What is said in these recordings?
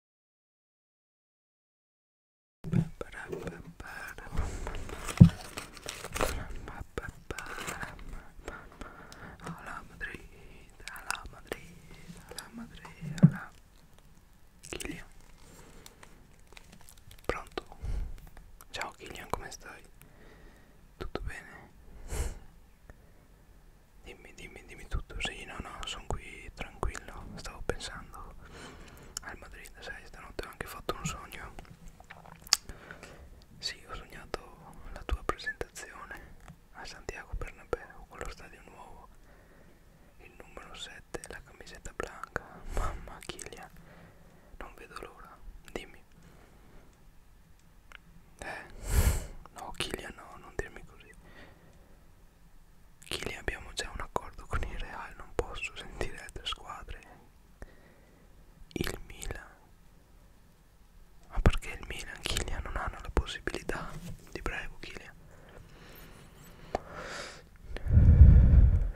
alla Madrid, alla Madrid, alla Madrid, alla Kilian. Pronto? Ciao Kilian, come stai? Tutto bene? Dimmi, dimmi, dimmi tutto. Sì, no, no, sono qui tranquillo. Stavo pensando al Madrid, sai, stanotte ho anche fatto un sogno. Sì, ho sognato la tua presentazione a Santiago Bernabeu con lo stadio nuovo. Il numero 7, la camisetta bianca. Mamma Chilia, non vedo l'ora. Dimmi. Eh, no Chilia no, non dirmi così. Chili abbiamo già un accordo con il Real, non posso sentire altre squadre. Il Milan. Ma perché il Milan, Kylian non hanno la possibilità? Ti prego, Kylian.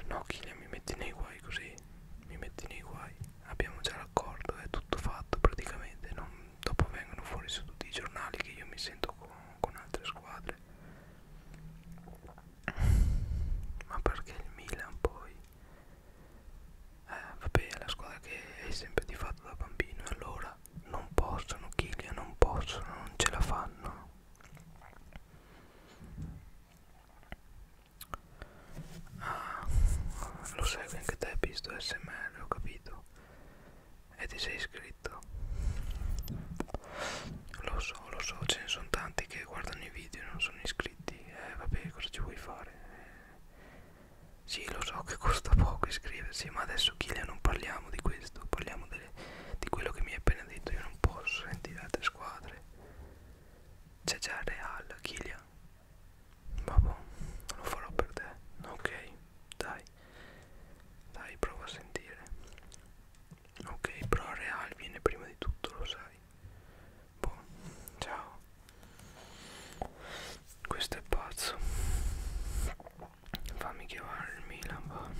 No, Kylian mi metti nei guai così. Mi metti nei guai. Abbiamo già l'accordo, è tutto fatto praticamente. Non dopo vengono fuori su tutti i giornali che io mi sento con, con altre squadre ma perché il Milan poi eh, vabbè è la squadra che hai sempre di fatto da bambino allora non possono Chiglia non possono non ce la fanno ah, lo segui anche te visto smr ho capito e ti sei iscritto lo so lo so ce ne sono tanti che guardano i video e non sono iscritti eh vabbè cosa ci vuoi fare eh, sì lo so che costa poco iscriversi ma adesso Kilian non parliamo di questo parliamo delle, di quello che mi hai appena detto io non posso sentire altre squadre c'è già Real Kilian vabbè lo farò per te ok dai dai prova a sentire ok però real viene prima di tutto lo sai boh ciao questo è pazzo fammi chiamare il Milan va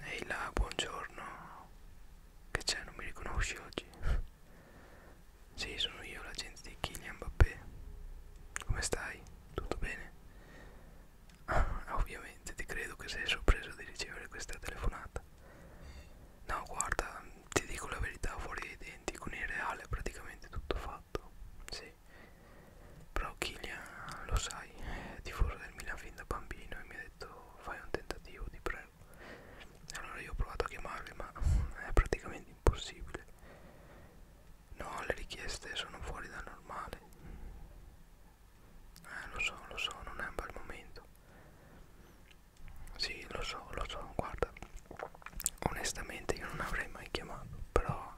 Ehi là, buongiorno. Che c'è, non mi riconosci oggi? sì, sono io, l'agente di Kylian Mbappé. Come stai? Tutto bene? Ah, ovviamente, ti credo che sei sorpreso di ricevere questa telefonata. No, guarda, ti dico la verità, fuori dai denti, con il reale è praticamente tutto fatto. Sì, però Kylian lo sai è tifoso del Milan fin da bambino e mi ha detto fai un tentativo ti prego allora io ho provato a chiamarli ma è praticamente impossibile no le richieste sono fuori dal normale eh lo so lo so non è un bel momento sì lo so lo so guarda onestamente io non avrei mai chiamato però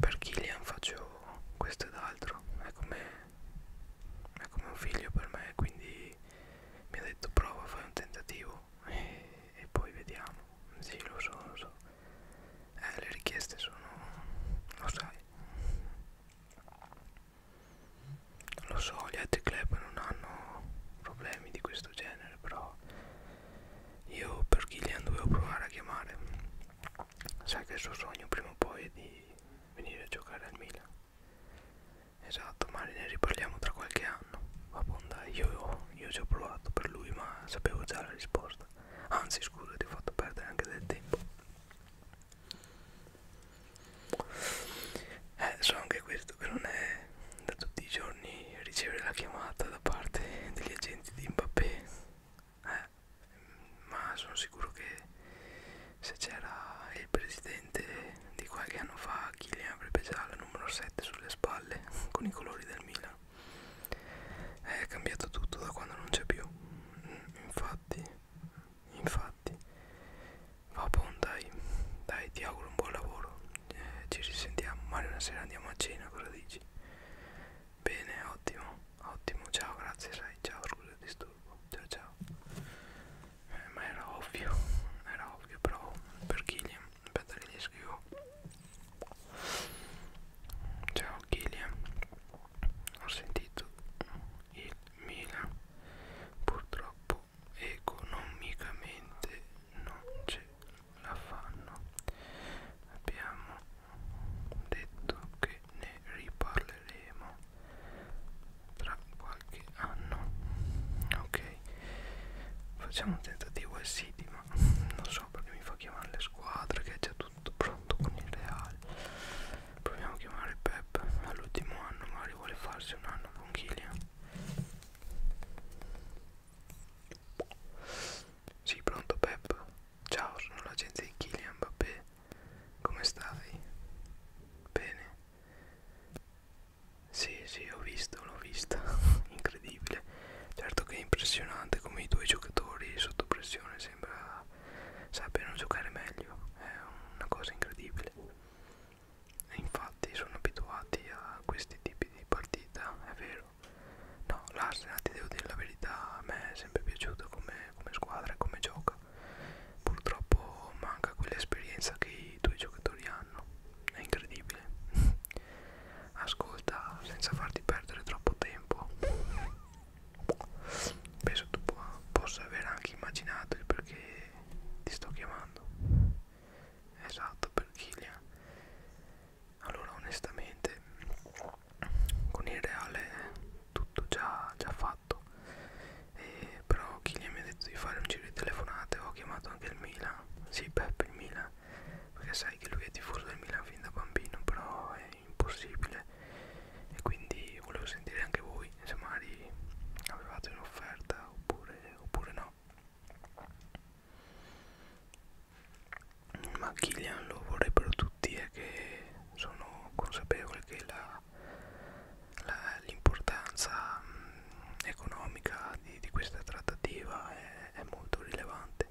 per Killian faccio questo ed altro è come, è come un figlio per me quindi mi ha detto prova fai un tentativo e, e poi vediamo sì lo so lo so eh, le richieste sono lo sai lo so gli altri club non hanno problemi di questo genere però io per Killian dovevo provare a chiamare Sai che il suo sogno prima o poi è di venire a giocare al Milan. Esatto, ma ne riparliamo tra qualche anno. Vabbè, io, io ci ho provato per lui, ma sapevo già la risposta. Anzi, scusa, ti ho fatto perdere anche del tempo. Eh, so anche questo che non è da tutti i giorni ricevere la chiamata da parte degli agenti di Mbappé eh, ma sono sicuro che se c'era il presidente di qualche anno fa Kylian avrebbe già la numero 7 sulle spalle con i colori del Milan è cambiato tutto da quando non c'è più mm, infatti infatti va buon dai dai ti auguro un buon lavoro eh, ci risentiamo magari una sera andiamo a cena cosa dici Bene, ottimo, ottimo, ciao, grazie, sai, ciao, scusa il disturbo, ciao ciao. Eh, ma era ovvio, era ovvio, però per Killian, aspetta che gli scrivo. Ciao Killian, ho sentito il Milan, purtroppo economicamente non ce la fanno abbiamo detto che ne riparleremo tra qualche anno ok facciamo un tentativo e sì ma non so perché mi fa chiamare le squadre che è già tutto pronto con il reale proviamo a chiamare Pep all'ultimo anno magari vuole farsi un anno con Killian sì, pronto Pep. Ciao, sono l'agente di Kylian Mbappé. Come stai? Bene. Sì, sì, ho visto, l'ho vista. Incredibile. Certo che è impressionante come i due giocatori sotto pressione sembra sappiano giocare meglio. È una cosa incredibile. E infatti sono abituati a questi tipi di partita, è vero senso no l'Arsenal eh, ti devo dire la verità a me è sempre piaciuto come, come squadra e come gioca purtroppo manca quell'esperienza che i tuoi giocatori hanno è incredibile ascolta senza farti perdere troppo tempo penso tu po possa aver anche immaginato il perché ti sto chiamando esatto per Kylian allora onestamente con il reale tutto già, già fatto e, però Kylian mi ha detto di fare un giro di telefonate ho chiamato anche il Milan sì Peppe il Milan perché sai che lui è tifoso del Milan fin da bambino però è impossibile e quindi volevo sentire anche voi se magari avevate un'offerta oppure, oppure no ma Killian lo vorrebbero tutti e eh, che sono consapevole che l'importanza mm, economica di, di questa trattativa è, è molto rilevante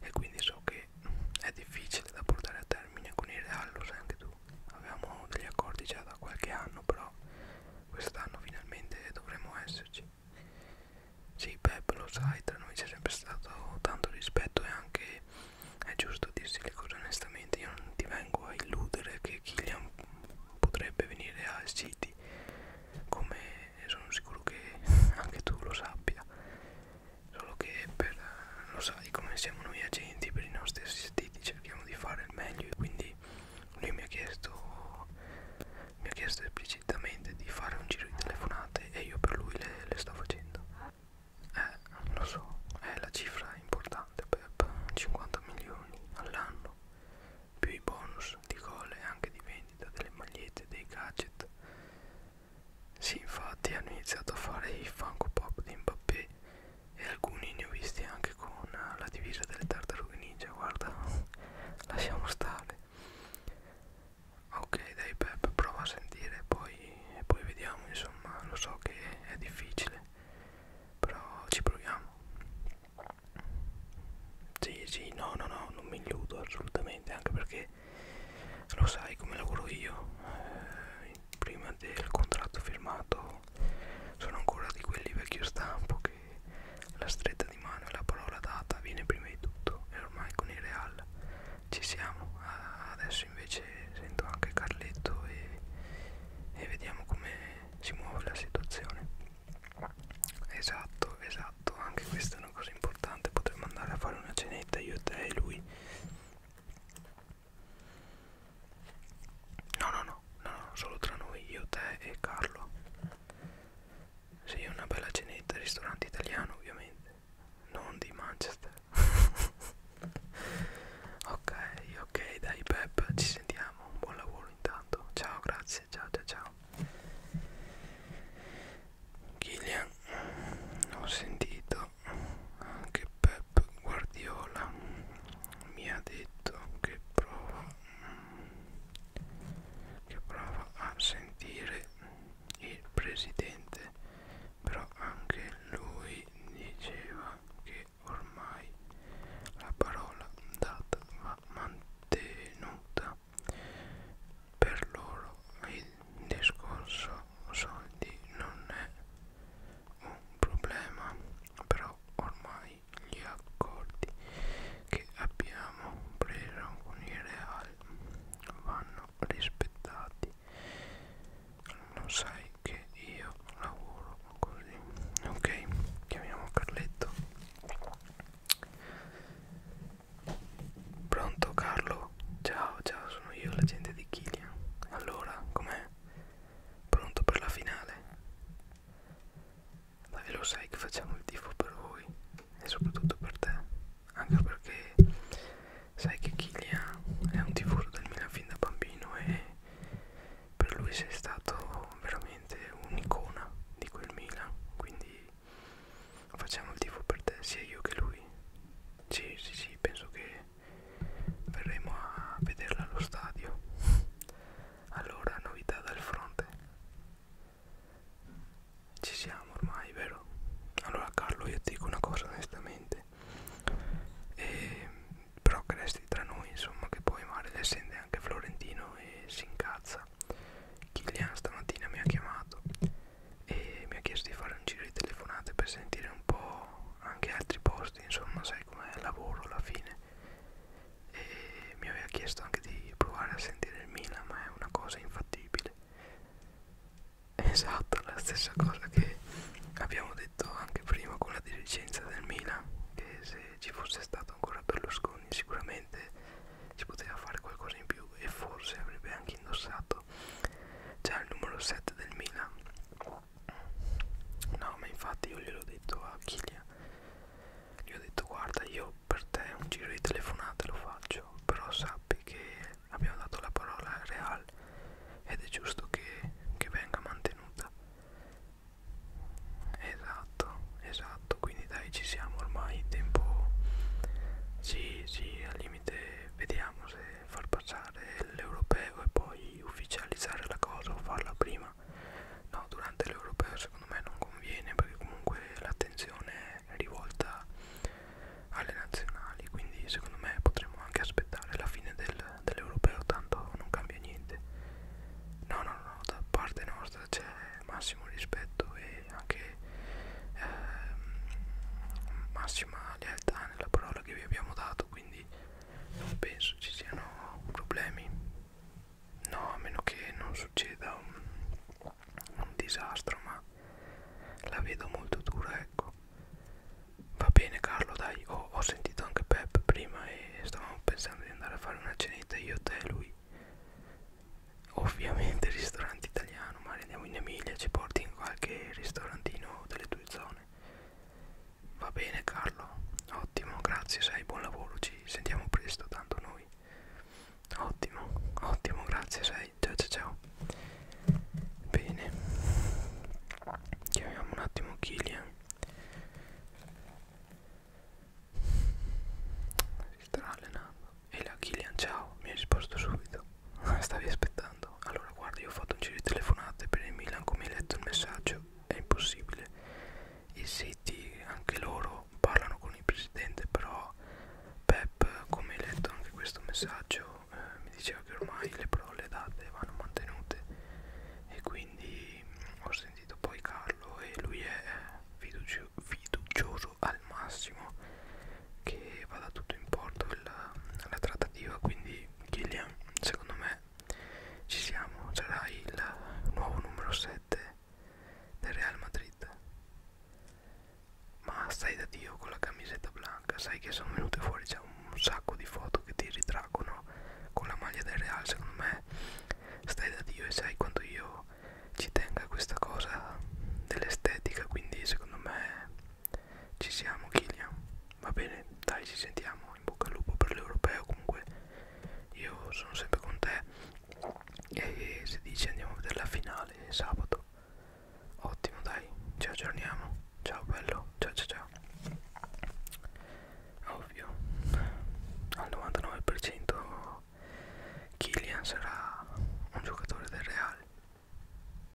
e quindi so che mm, è difficile da portare a termine con il Real, lo sai anche tu avevamo degli accordi già da qualche anno però quest'anno finalmente dovremo esserci sì, Pep, lo sai, tra noi c'è sempre stato tanto rispetto e anche è giusto dirsi le cose onestamente. Io non ti vengo a illudere che Killian potrebbe venire al City, come sono sicuro che anche tu lo sappia. Solo che per, lo sai, come siamo noi agenti per i nostri assistiti, cerchiamo di fare il meglio e quindi lui mi ha chiesto mi ha chiesto esplicitamente di fare un giro di telefonate e io per lui le, le sto facendo eh lo so è la cifra importante Pep 50 milioni all'anno più i bonus di gol e anche di vendita delle magliette dei gadget sì infatti hanno iniziato a fare i Funko Pop di Mbappé e alcuni ne ho visti anche con la divisa delle tartarughe ninja guarda lasciamo stare ok dai Pep prova a sentire poi, e poi vediamo insomma lo so che è difficile però ci proviamo sì sì no no no non mi illudo assolutamente anche perché lo sai come lavoro io eh, prima del contratto firmato sono ancora di quelli vecchio stampo che la stretta di mano e la parola data viene prima di tutto e ormai con il Real ci siamo. Adesso invece sento anche Carletto e, e vediamo come si muove la situazione. Esatto, esatto, anche questa è una cosa importante. Potremmo andare a fare una cenetta io, te e lui. No, no, no, no, no, solo tra noi, io, te e Carlo. Sì, una bella cenetta, ristorante italiano ovviamente, non di Manchester. ok, ok, dai Pep, ci sentiamo, buon lavoro intanto. Ciao, grazie, ciao, ciao, ciao. Killian, ho sentito anche Pep Guardiola mi ha detto che prova che prova a sentire il presidente però anche lui diceva che ormai la parola data va mantenuta per loro il discorso soldi non è un problema però ormai mai gli accordi che abbiamo preso con il Real vanno rispettati lo sai che io lavoro così ok chiamiamo Carletto pronto Carlo ciao ciao sono io l'agente di Kilian allora com'è pronto per la finale ma ve lo sai che facciamo il tifo per voi e soprattutto per te anche perché sai che Kylian è un tifoso del Milan fin da bambino e per lui sei stato veramente un'icona di quel Milan quindi facciamo il tifo per te sia io che lui sì sì sì penso che verremo a vederla allo stadio allora novità dal fronte ci siamo ormai vero allora Carlo io ti dico una cosa onestamente e, però che resti tra noi insomma che poi male le sente anche Florentino e si incazza Kilian stamattina mi ha chiamato e mi ha chiesto di fare un giro di telefonate per sentire un po' anche altri posti insomma sai com'è il lavoro alla fine e mi aveva chiesto anche di provare a sentire il Milan ma è una cosa infattibile esatto la stessa cosa che abbiamo detto anche prima con la dirigenza del Milan che se ci fosse stato ancora Berlusconi sicuramente si poteva fare qualcosa in più e forse avrebbe anche indossato già il numero 7 del Milan No, ma infatti io gliel'ho detto a Kilia. Gli ho detto guarda io per te un giro di telefonate lo faccio, però sappi che abbiamo dato la parola real ed è giusto che, che venga mantenuta. Esatto, esatto, quindi dai ci siamo ormai in tempo. Sì, sì, al limite vediamo se far passare l'europeo e poi ufficializzare la cosa o farla prima no durante l'europeo secondo me non conviene perché comunque l'attenzione è rivolta alle nazionali quindi secondo me potremmo anche aspettare la fine del, dell'europeo tanto non cambia niente no no no da parte nostra c'è massimo rispetto e anche ehm, massima lealtà nella parola che vi abbiamo dato quindi non penso ci siano problemi no a meno che non succeda un, un disastro ma la vedo molto dura ecco va bene Carlo dai ho, ho sentito anche Pep prima e stavamo pensando di andare a fare una cenetta io te e lui ovviamente ristorante italiano ma andiamo in Emilia ci porti in qualche ristorantino delle tue zone Va bene Carlo, ottimo, grazie, sai, buon lavoro, ci sentiamo presto, tanto noi. Ottimo, ottimo, grazie, sai, ciao ciao ciao. Bene, chiamiamo un attimo Killian. Si starà allenando. E la Killian, ciao, mi ha risposto subito. Stavi aspettando scherzando. Allora, guarda, io ho fatto un giro di telefonate per il Milan, come hai letto il messaggio, è impossibile. I siti, anche loro, parlano con il presidente, però Pep, come hai letto anche questo messaggio, eh, mi diceva che ormai le parole date vanno mantenute e quindi mh, mm, ho sentito poi Carlo e lui è eh, fiducio fiducioso al massimo che vada tutto in porto la, la trattativa quindi quindi Killian secondo me ci siamo sarà cioè, il nuovo numero 7 del Real Madrid ma stai da dio con la camisetta blanca sai che sono venute fuori già un sacco di foto che ti ritraggono con la maglia del Real secondo me stai da dio e sai quanto io ci tenga questa cosa dell'estetica quindi secondo me ci siamo Killian va bene dai ci sentiamo in bocca al lupo per l'europeo comunque io sono sempre con te e se dici andiamo a vedere la finale sabato ottimo dai ci aggiorniamo ciao bello ciao ciao ciao ovvio al 99% Kylian sarà un giocatore del Real